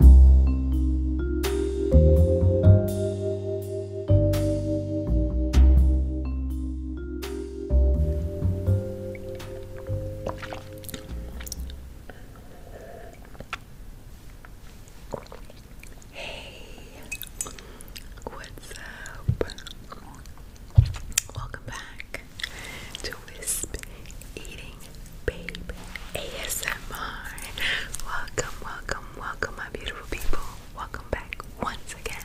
Hey, what's up? Welcome back to Wisp Eating Babe ASMR. Welcome, welcome, welcome, my beautiful people. Welcome back once again.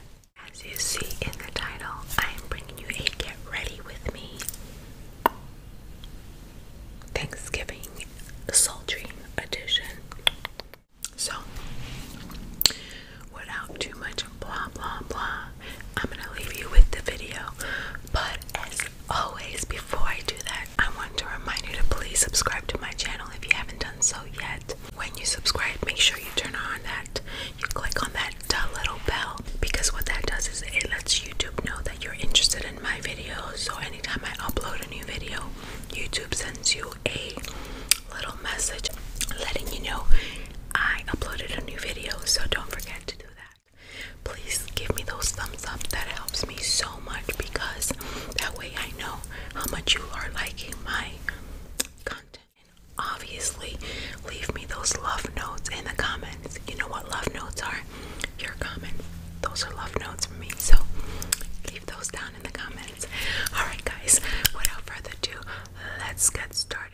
As you see in the title, I am bringing you a get ready with me Thanksgiving Sultry Edition. So, without too much blah blah blah, I'm gonna leave you with the video. But as Always, before I do that, I want to remind you to please subscribe to my channel if you haven't done so yet. When you subscribe, make sure you turn on that, you click on that little bell because what that does is it lets YouTube know that you're interested in my videos. So anytime I upload a new video, YouTube sends you a little message letting you know I uploaded a new video. So don't forget to do that please give me those thumbs up. That helps me so much because that way I know how much you are liking my content. And obviously, leave me those love notes in the comments. You know what love notes are? Your comments. Those are love notes for me. So leave those down in the comments. Alright, guys, without further ado, let's get started.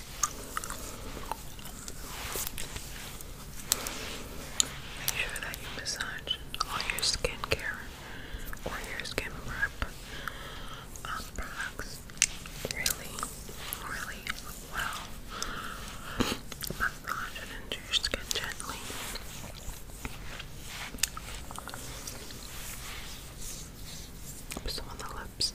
Make sure that you massage all your skincare or your skin prep um, products really, really well. Massage into your skin gently. Some on the lips.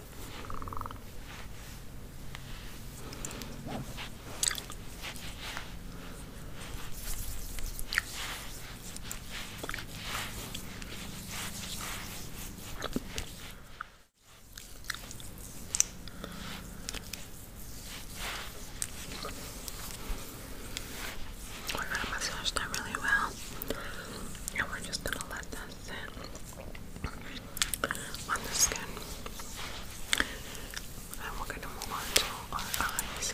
We're gonna massage that really well, and we're just gonna let that on the skin. And we're going to move on to our eyes.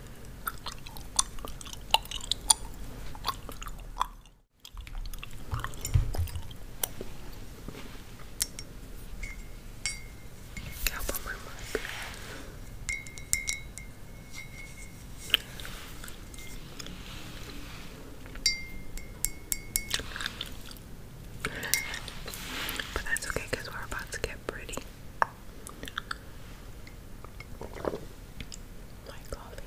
But that's okay because we're about to get pretty my coffee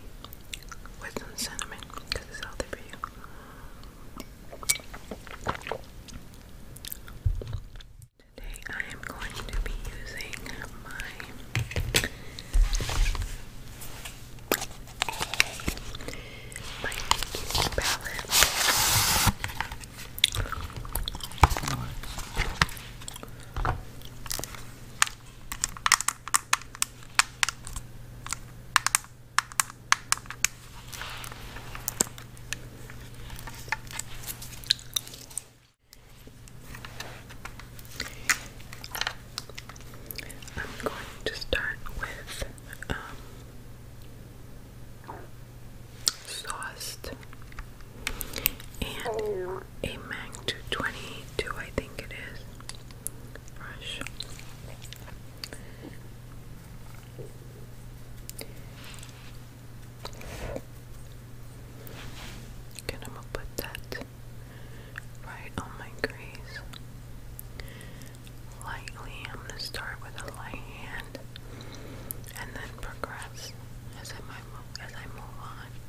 with some cinnamon because it's healthy for you. Today I am going to be using my my palette. I'm going to start with um, and a MAC 222, I think it is, brush. I'm gonna put that right on my crease. Lightly, I'm gonna start with a light hand and then progress as I move as I move on.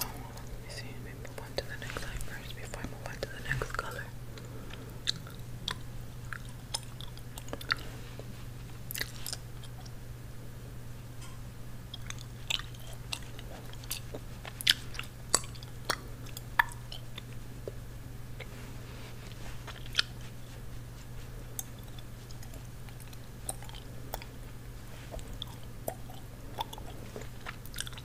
Oh, let me see. Let me to the next eye first before I move on to the next color. Gotta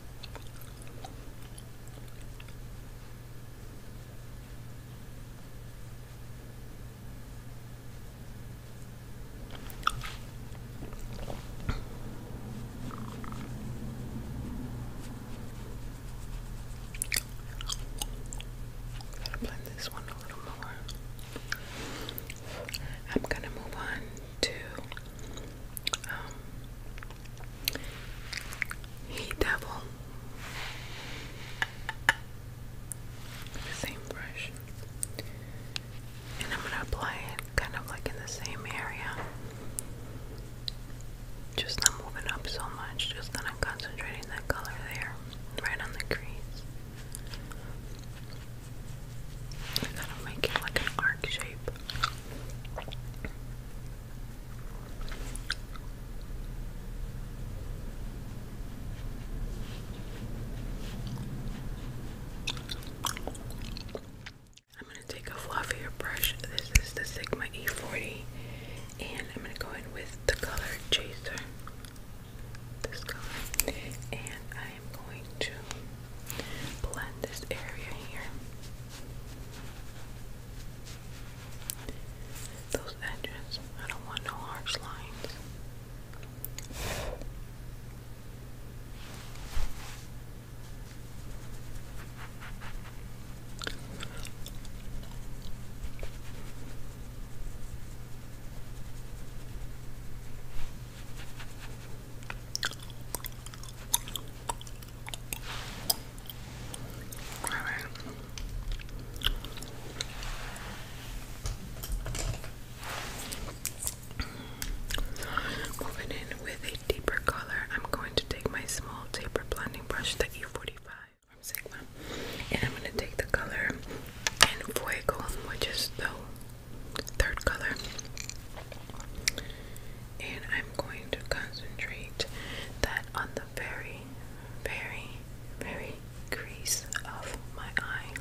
blend this one a little more. I'm gonna move on to um, Heat Devil. same brush. And I'm gonna apply it kind of like in the same area. Just not moving up so much, just kind of concentrating that color there, right on the crease. And then I'll make it like an arc shape. I'm going to take a fluffier brush. This is the Sigma E40, and I'm going to go in with the color Chaser. This color, and I I am going to blend this area here. Those edges, I don't want no harsh lines. I moving in with a deeper color, I'm going to take my small taper blending brush, the E45 from Sigma, and I'm going to take the color in Fuego, which is the third color. And I'm going to concentrate that on the very, very, very crease of my eye.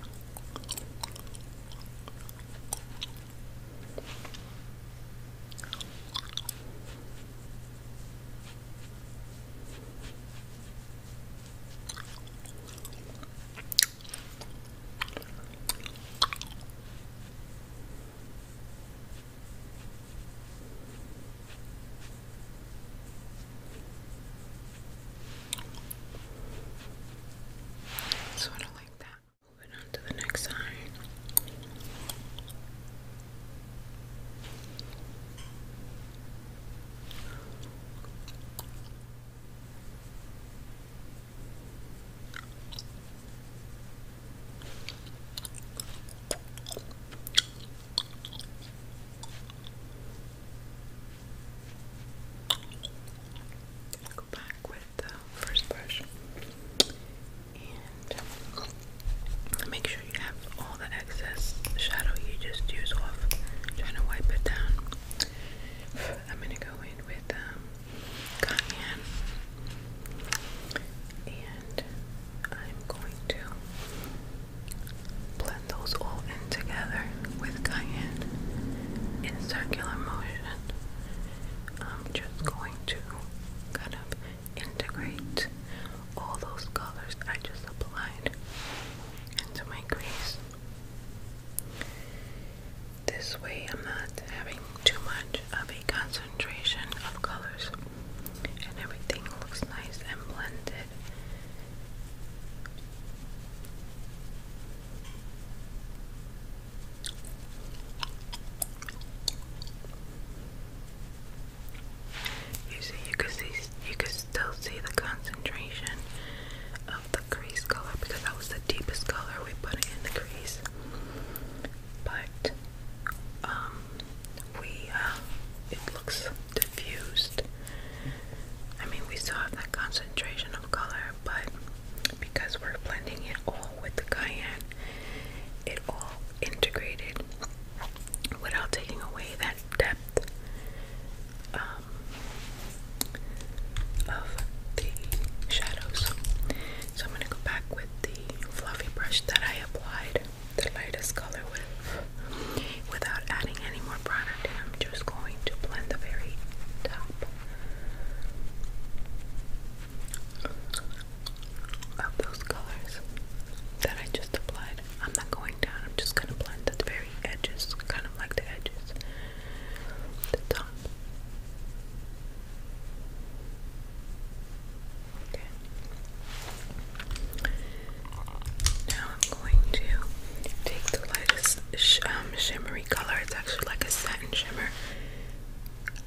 So I like that. Moving on to the next eye. Go back with the first brush and make sure you have all the excess shadow you just used off. Trying to wipe it down. I'm gonna go in with um, cayenne. And I'm going to blend those all in together with cayenne in circular motion. I'm just going to kind of integrate all those colors I just applied into my crease. This way, I'm not having too much of a concentration of colors, and everything looks nice and blended. You see, you could see, you could still see the concentration of the crease color because that was the deepest color we put in the crease but um, we uh, it looks diffused. I mean, we still have that concentration of color, but because we're blending it all with the cayenne, it all integrated without taking away that depth. Um, of the shadows. So I'm going to go back with the fluffy brush that I applied the lightest color with without adding any more product and I'm just going to blend the very top of those colors that I just applied. I'm not going down, I'm just going to blend the very edges, kind of like the edges, the top. Okay. Now I'm going to take the lightest um, shimmery color. It's actually like a satin shimmer,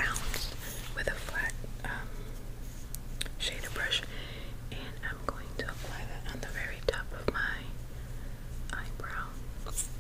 ounce with a flat um, shader brush, and I'm going to apply that on the very top of my eyebrow.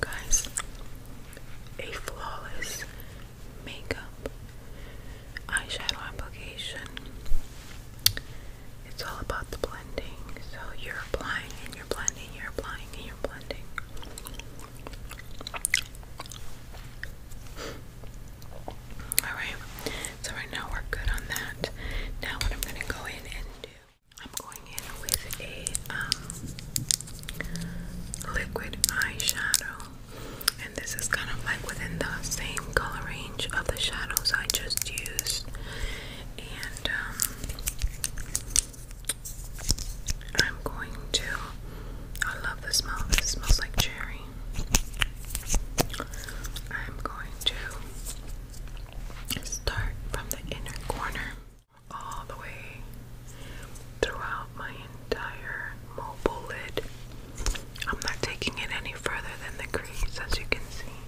Guys, a flawless makeup eyeshadow application. It's all about the blending. So you're applying and you're blending, you're applying and you're blending. Alright, so right now we're good on that. Now, what I'm going to go in and do, I'm going in with a um, liquid eyeshadow, and this is kind of like within the same color range of the shadows I just used. And um, I'm going to, I love the smell, this smells like cherry. I'm going to start from the inner corner all the way throughout my entire mobile lid. I'm not taking it any further than the crease, as you can see.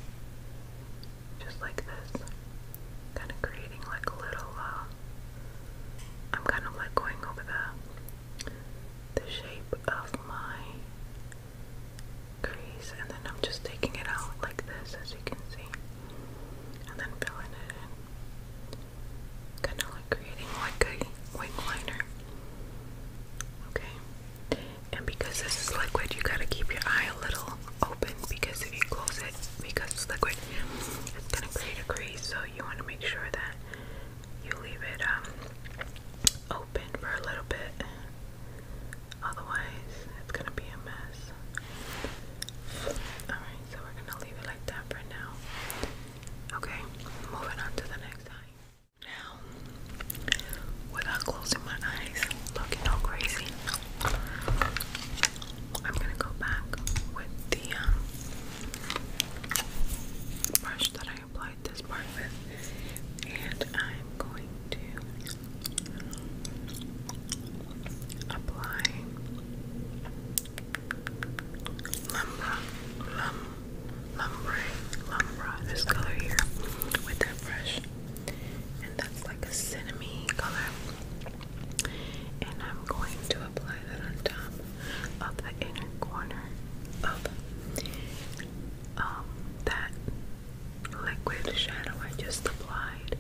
Just like this. Kind of creating like a little, uh, I'm kind of like going over the the shape of my crease and then I'm just taking it out like this as you can see and then filling it in kind of like creating like a wing liner okay and because this is liquid you gotta keep your eye a little open because if you close it because it's liquid it's gonna create a crease so you want to make sure that you leave it um, open for a little bit. Otherwise, it's gonna be a mess. Alright, so we're gonna leave it like that for now. Okay, moving on to the next eye. Now, without closing my eyes, looking all crazy, I'm gonna go back with the um, brush that I applied this part with, and I'm going to apply Lumbra, Lum, Lumbre, Lumbra, this color here with that brush, and that's like a cinnamon color. And I'm going to apply that on top of the inner corner of um, that liquid shadow I just applied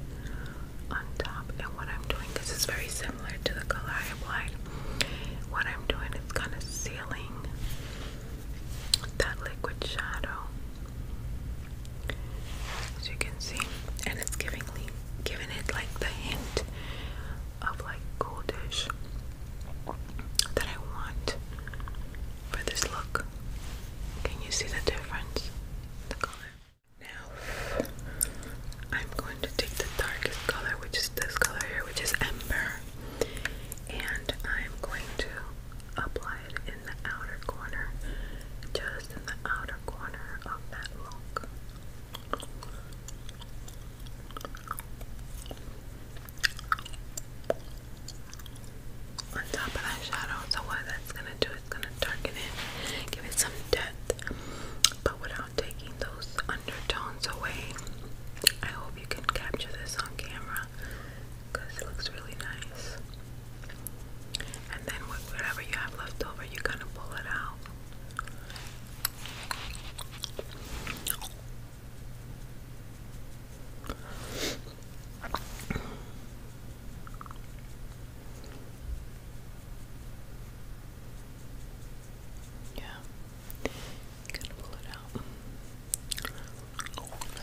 on top. And what I'm doing, this is very similar to the color I applied. What I'm doing is kind of sealing that liquid shadow, as you can see, and it's giving me, giving it like the hint of like cool that I want for this look. Can you see the difference? The color. Now I'm going to take the darkest color, which is this color here, which is amber, and I'm going to apply it in the outer corner, just in the outer corner of that look on top of that shadow. So what that's gonna do is gonna darken it, give it some depth, but without taking those undertones away. I hope you can capture this on camera it looks really nice. And then whatever you have left over, you're going pull it out yeah, gonna out.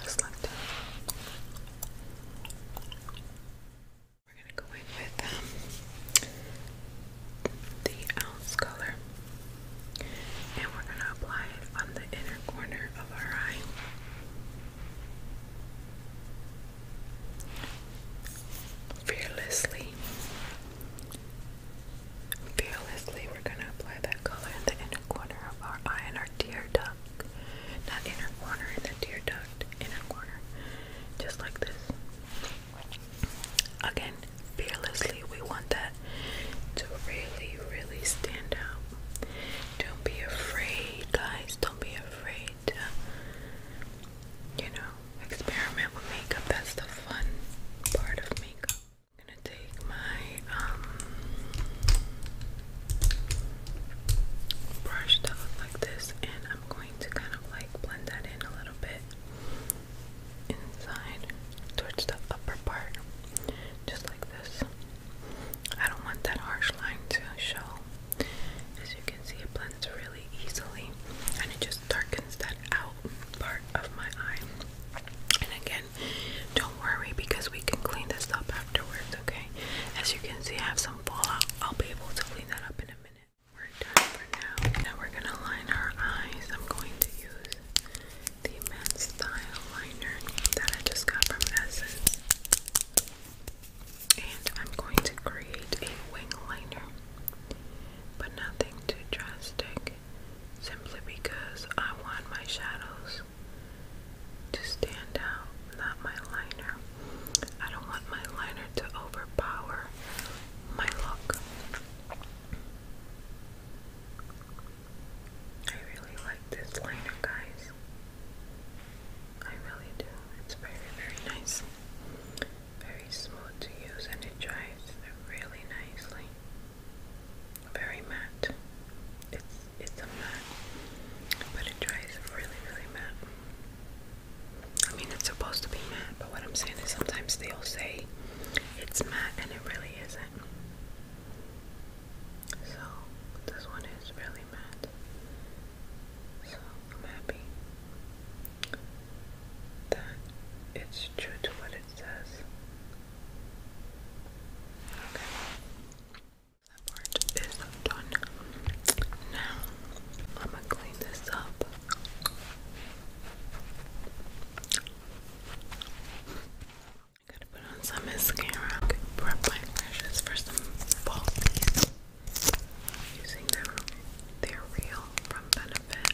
Just like that. We're gonna go in with um, the ounce color. And we're going to apply it on the inner corner of our eye. Fearlessly. Fearlessly, we're going to apply that color in the inner corner of our eye and our tear duct. Not inner corner, in the tear duct, inner corner. Just like this. Again, fearlessly, we want that to really, really stand out. Don't be afraid, guys. Don't be afraid you know, experiment with makeup. That's the fun part of makeup. I'm gonna take my um, brush that looks like this, and I'm going to kind of like blend that in a little bit inside towards the upper part, just like this. I don't want that harsh line to show. As you can see, it blends really easily and it just darkens that out part of my eye. And again, don't worry because we can clean this up afterwards, okay? As you can see, I have some fallout. I'll be able to clean that up in a minute we're done for now. Now we're gonna line our eyes. I'm going to use the Men's Style Liner that I just got from Essence. And I'm going to create a wing liner, but nothing too drastic, simply because I want my shadows to stand out, not my liner. I don't want my liner to overpower my look. I really like this liner, guys. I really do. It's very, very nice. Very smooth to use and it dries really nicely. Very matte. It's it's a matte. But it dries really, really matte. I mean it's supposed to be matte what I'm saying is sometimes they'll say it's matte and it really isn't. So this one is really matte. So I'm happy that it's true to what it says. Okay. That part is done. Now I'm gonna clean this up. Gotta put on some mascara. prep my lashes for some fall Using them, they're real from Benefit.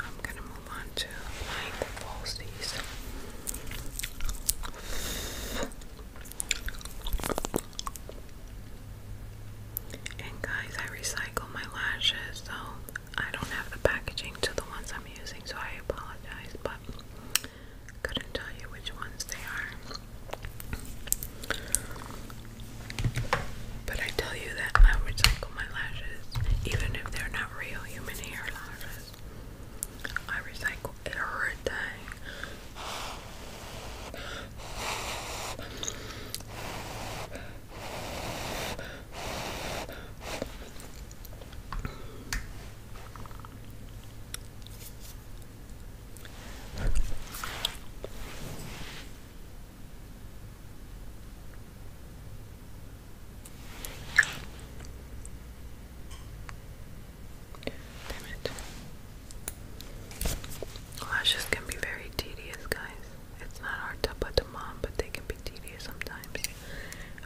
I'm gonna move on to applying falsies. And guys, I recycle my lashes, so I don't have the packaging to the ones I'm using, so I apologize, but couldn't tell you which ones they are. But I tell you that I recycle my lashes, even if they're not real human hair lashes. I recycle everything. Damn it. Lashes can be very tedious, guys. It's not hard to put them on, but they can be tedious sometimes.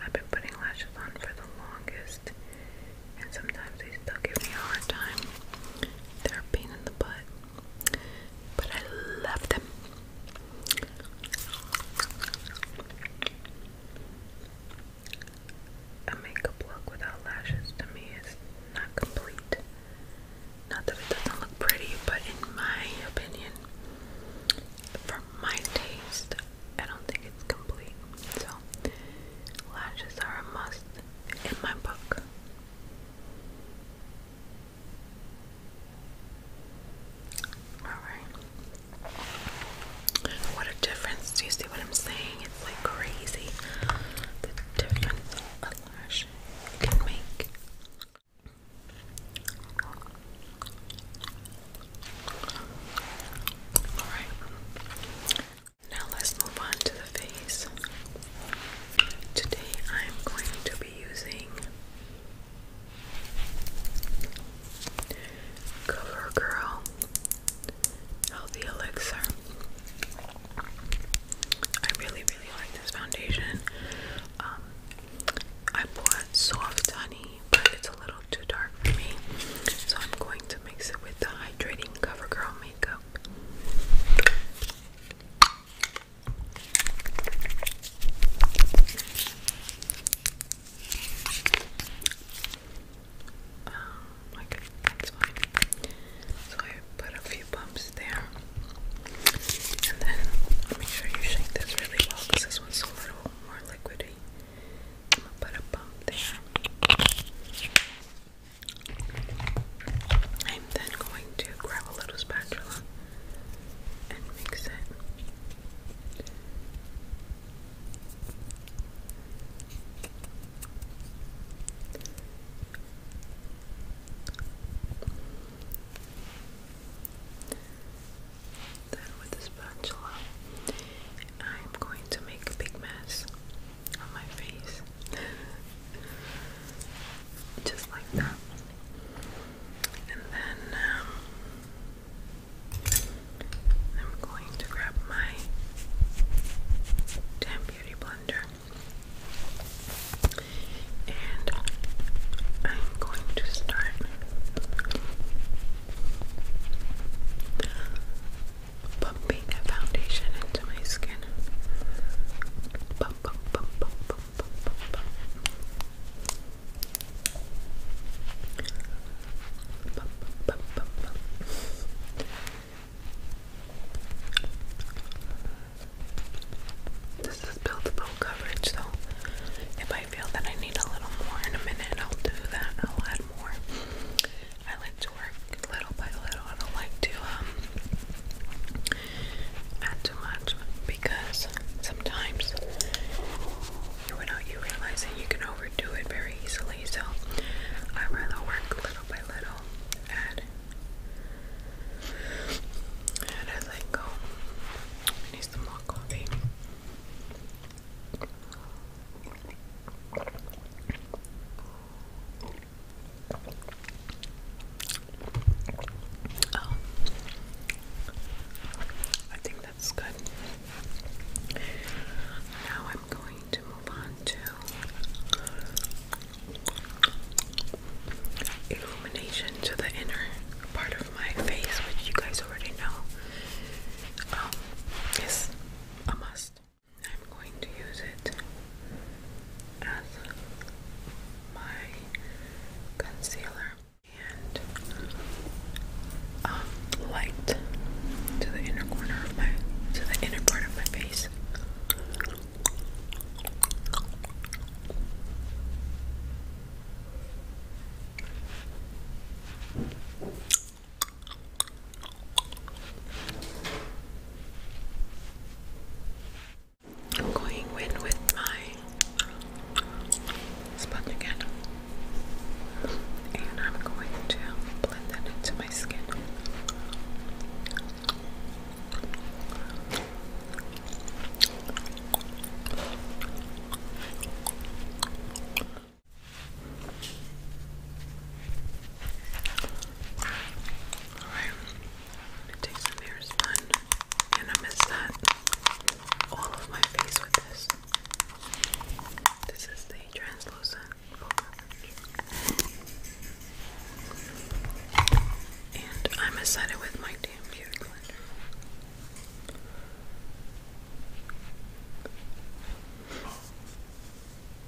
I've been putting lashes on for the longest, and sometimes they still give me a hard time. They're a pain in the butt. But I love them. A makeup look without lashes to me is not complete. Not that it doesn't look pretty, but in my opinion, for my taste, I don't think it's complete. So, lashes are a must in my book. Alright. What a difference. Do you see what I'm saying? It's like crazy. The difference a lash can make. Alright. Now let's move on to the face. Today I'm going to be using CoverGirl Healthy Elixir. I really, really like this foundation. Um, I bought Soft Honey, but it's a little too dark for me, so I'm going to mix it with the hydrating CoverGirl makeup. Um, oh okay, that's fine. So I put a few bumps there. And then make sure you shake this really well because this one's a little more liquidy. I'm gonna put a bump there. I'm then going to grab a little spatula and mix it. Then with the spatula, I'm going to make a big mess on my face. Just like that. And then um, I'm going to grab my damn beauty blender. And I'm going to start bumping that foundation into my skin. This is built full coverage, so if I feel that I need a little more in a minute, I'll do that. I'll add more. I like to work little by little. I don't like to um add too much because sometimes without you that you can overdo it very easily. So I rather work little by little, add and as I go. I need some more coffee. Um, I think that's good. Now I'm going to move on to illumination to the inner part of my face, which you guys already know. is um, a must. I'm going to use it as my concealer and um, light to the inner corner of my to the inner part of my face. I'm going in with my sponge again, and I'm going to blend that into my skin. Alright, I'm take some hair and I mess that all of my face with this. This is the translucent and I mess that with my damn beauty blender. And then move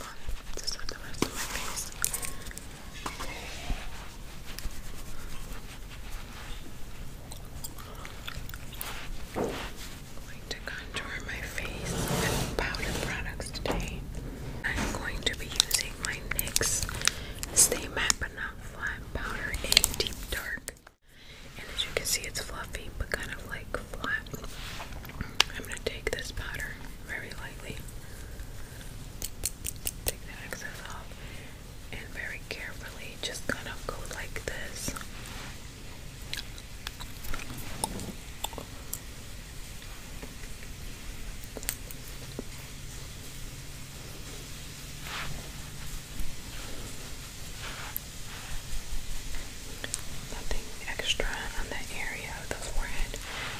on to the rest of my face. I'm going to contour my face with powder products today. I'm going to be using my NYX Stay Matte But Not Flat Powder in Deep Dark. And as you can see, it's fluffy but kind of like flat. I'm going to take this powder very lightly, take the excess off, and very carefully just kind of go like this. Nothing extra on that area of the forehead,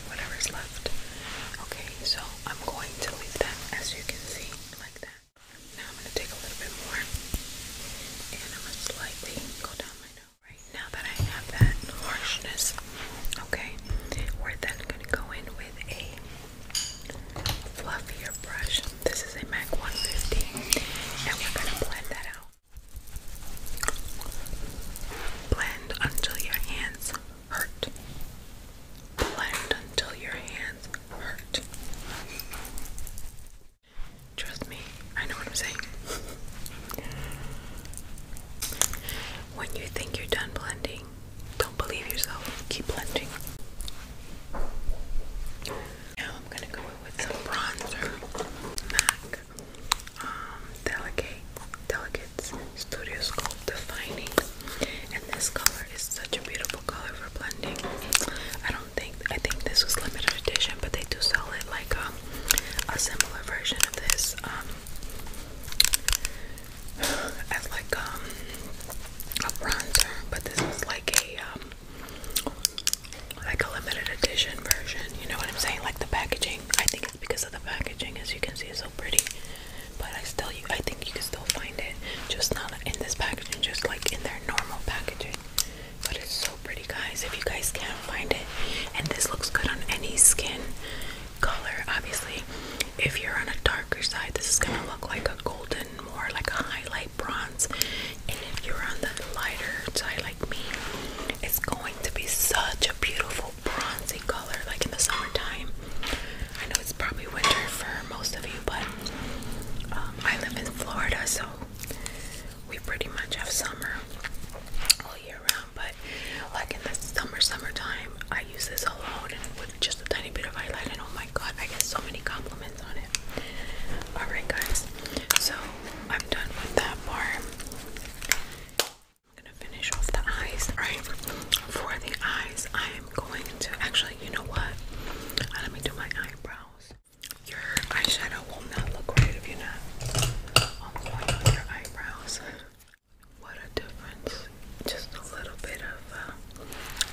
whatever's left. Okay, so I'm going to leave that as you can see, like that. Now I'm going to take a little bit more and I'm going to slightly go down my nose. Right now that I have that harshness, okay, we're then going to go in with a fluffier brush. This is a MAC 150, and we're going to blend that out. Blend until your hands hurt. Blend until your hands hurt. Trust me, I know what I'm saying. When you think you're done blending, don't believe yourself. Keep blending. Now I'm gonna go in with some bronzer, MAC, um, Delicate, Studio Sculpt Defining, and this color is such a beautiful color for blending. I don't think I think this was limited edition, but they do sell it like um, a similar version of this. Um, as like um a bronzer, but this is like a um like a limited edition version. You know what I'm saying? Like the packaging. I think it's because of the packaging, as you can see, it's so pretty. But I still, you, I think you can still find it, just not in this packaging, just like in their normal packaging. But it's so pretty, guys. If you guys can't find it, and this looks good on any skin color, obviously. If you're on a darker side, this is gonna look like a golden, more like a highlight bronze. And if you're on the lighter side like me, it's going to be such a beautiful bronzy color like in the summertime. I know it's probably winter for most of you, but um, I live in Florida, so we pretty much have summer all year round. But like in the summer, summertime, I use this alone with just a tiny bit of highlight, and oh my god, I get so many compliments Alright, guys, so I'm done with that part. I'm gonna finish off the eyes. Alright, for the eyes, I am going to actually, you know what? Let me do my eyebrows. Your eyeshadow will not look right if you're not on point on your eyebrows. What a difference! Just a little bit of uh,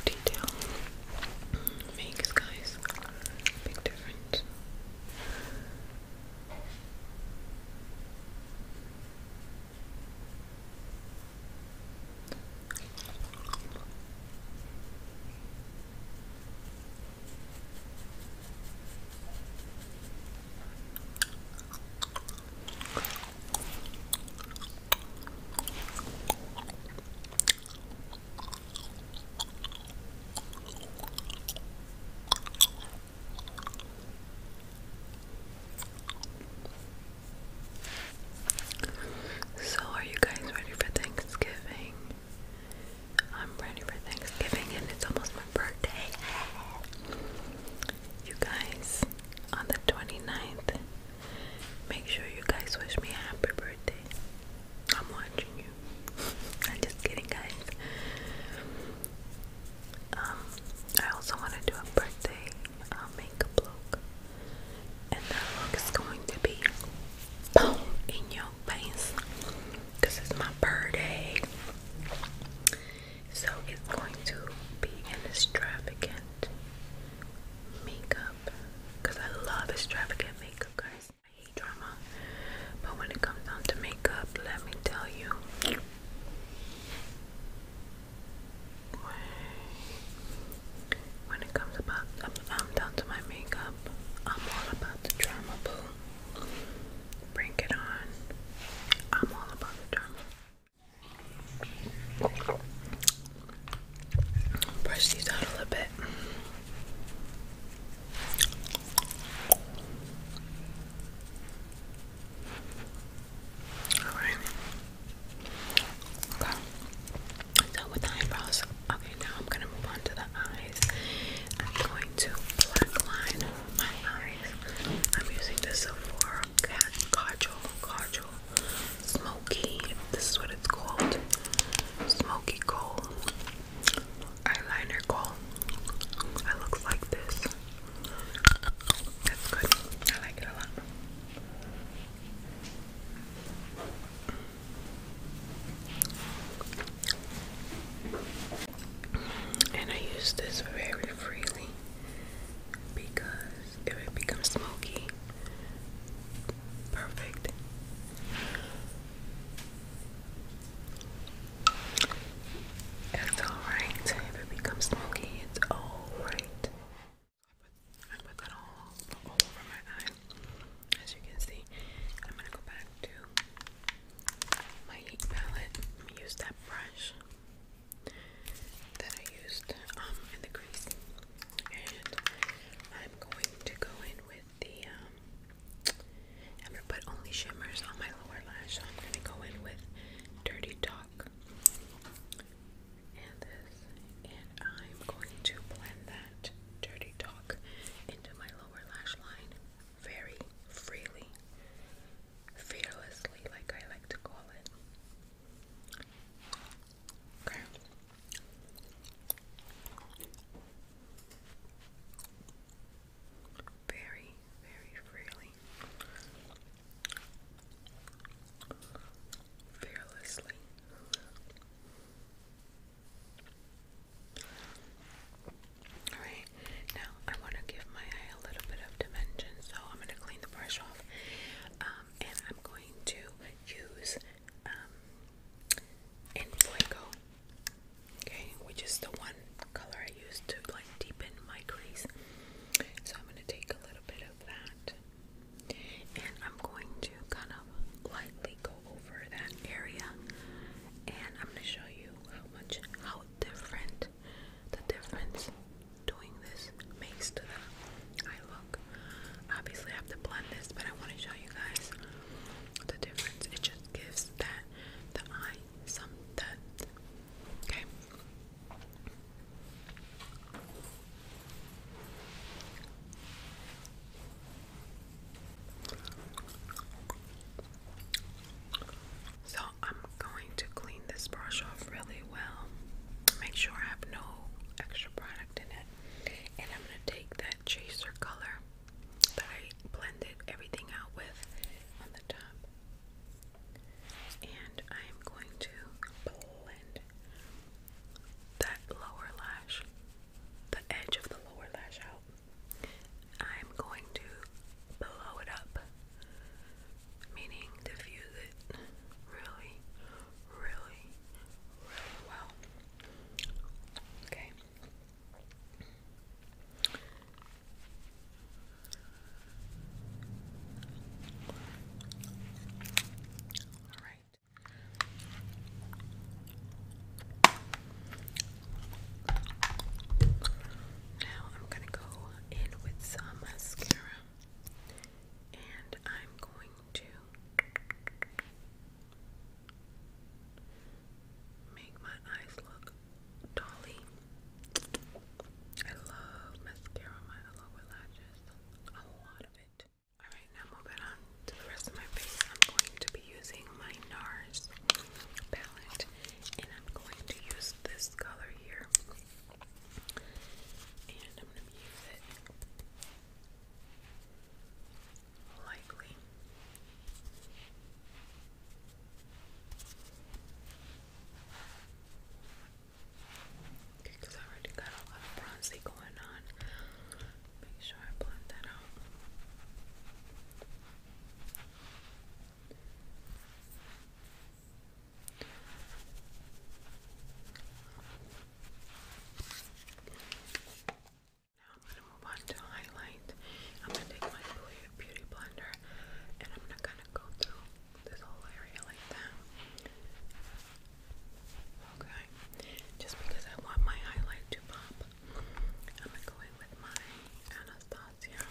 detail makes, guys. Big difference. So, are you guys ready for Thanksgiving? I'm ready for Thanksgiving, and it's almost my birthday. You guys, on the 29th, Make sure you guys wish me a happy birthday. I'm watching you. I'm just kidding, guys. Um, I also want to do a birthday uh, makeup look, and that look is going to be boom in your face because it's my birthday. So it's going to be an extravagant makeup because I love extravagant makeup, guys. I hate drama, but when it comes down to makeup, let me tell you. When it comes about, um, um, down to my makeup, I'm all about the drama, Bring it on. I'm all about the drama. Brush these out a little bit. Alright. Okay. So with the eyebrows, okay, now I'm gonna move on to the eyes. I'm going to black line my eyes. I'm using the Sephora Cat Cajole Cajole smoky, this is what it's called, smoky coal, eyeliner coal. It looks like this. That's good. I like it a lot. And I use this very freely because it becomes smoky, Perfect. It's alright if it becomes smoky, it's alright. I put that all, all over my eye, as you can see. I'm gonna go back to my heat palette. Let me use that brush that I used um, in the crease and I'm going to go in with the um, I'm gonna put only shimmers on my lower lash so I'm gonna go in with dirty talk and this and I'm going to blend that dirty talk into my lower lash line very freely fearlessly like I like to call it Okay. Very, very freely. Fearlessly. Alright, now I want to give my eye a little bit of dimension, so I'm going to clean the brush off um, and I'm going to use um, in Fuego, okay, which is the one color I use to like deepen my crease. So I'm going to take a little bit of that and I'm going to kind of lightly go over that area and I'm going to show you how much, how different the difference doing this makes to the I look. Obviously, have to blend this, but I want to show you guys the difference. It just gives that the eye some Okay. So I'm going to clean this brush off really well. Make sure I have no extra product and I'm going to take that chaser color that I blended everything out with on the top. And I'm going to blend that lower lash, the edge of the lower lash out. I'm going to blow it up, meaning diffuse it really, really, really well. Okay. All right. Now I'm going to go in with some mascara and I'm going to Make my eyes look dolly. I love mascara on my lower lashes. A lot of it. Alright, now moving on to the rest of my face. I'm going to be using my NARS palette and I'm going to use this color here. And I'm going to use it likely. Okay, because I already got a lot of bronzy going on. Make sure I blend that out. Now I'm gonna move on to highlight. I'm gonna take my beauty blender and I'm not gonna go through this whole area like that. Okay. Just because I want my highlight to pop, I'm gonna go in with my Anastasia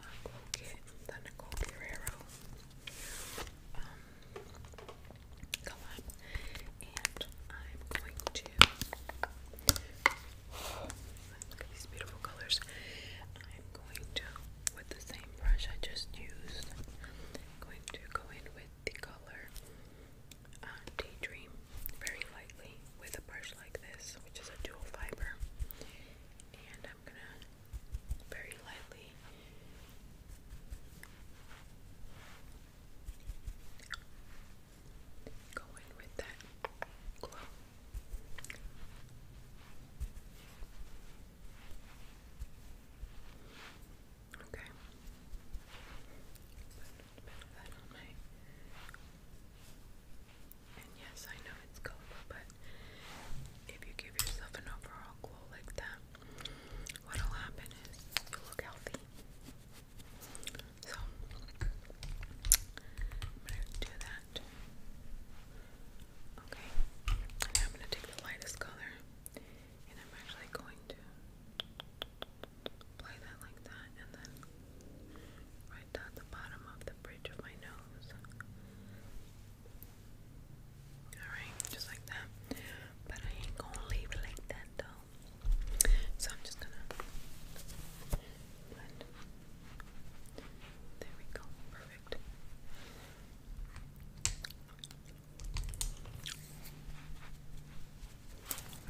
uh, Colgate, the Nicole Guerrero. Um, and I'm going to look at these beautiful colors. I'm going to, with the same brush I just used, I'm going to go in with the color uh, Daydream very lightly with a brush like this, which is a dual fiber, and I'm gonna very lightly Go in with that glow. Okay. Put a bit of that on my and yes, I know it's colorful, but if you give yourself an overall glow like that, what'll happen is you look healthy. So I'm gonna do that. Okay. And I'm gonna take the lightest color and I'm actually going to apply that like that and then right down the bottom of the bridge of my nose. Alright, just like that. But I ain't gonna leave it like that though. So I'm just gonna There we go. Perfect.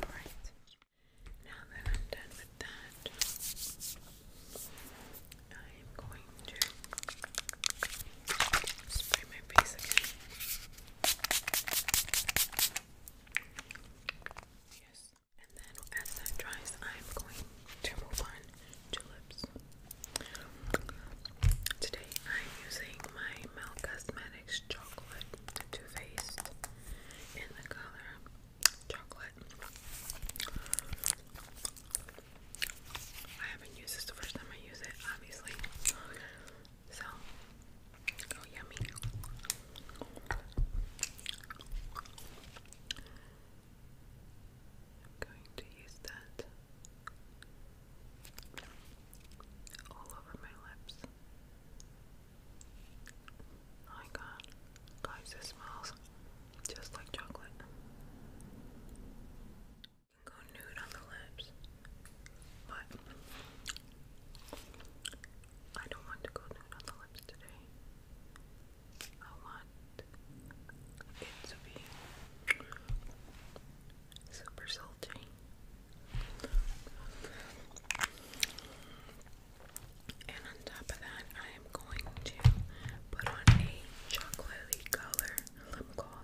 Alright. Now that I'm done with that, I am going to Spray my face again. Yes. And then as that dries, I'm going to move on to lips. Today I'm using my Mel Cosmetics Chocolate Too Faced in the color Chocolate. I haven't used this the first time I use it, obviously. So, oh yummy. I'm going to use that all over my lips. Oh my guys, this smells just like chocolate go nude on the lips, but I don't want to go nude on the lips today. I want it to be super salty. And on top of that, I am going to put on a chocolatey color lip gloss.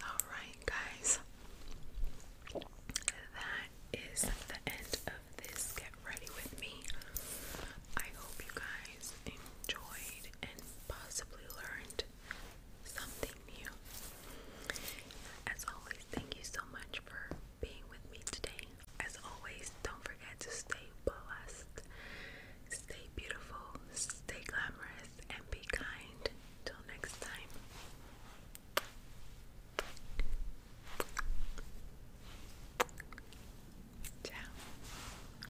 All right, guys, that is the end of this. Get ready with me. I hope you guys enjoyed and possibly learned something new. As always, thank you so much for being with me today. As always, don't forget to stay blessed, stay beautiful, stay glamorous, and be kind. Till next time. Ciao.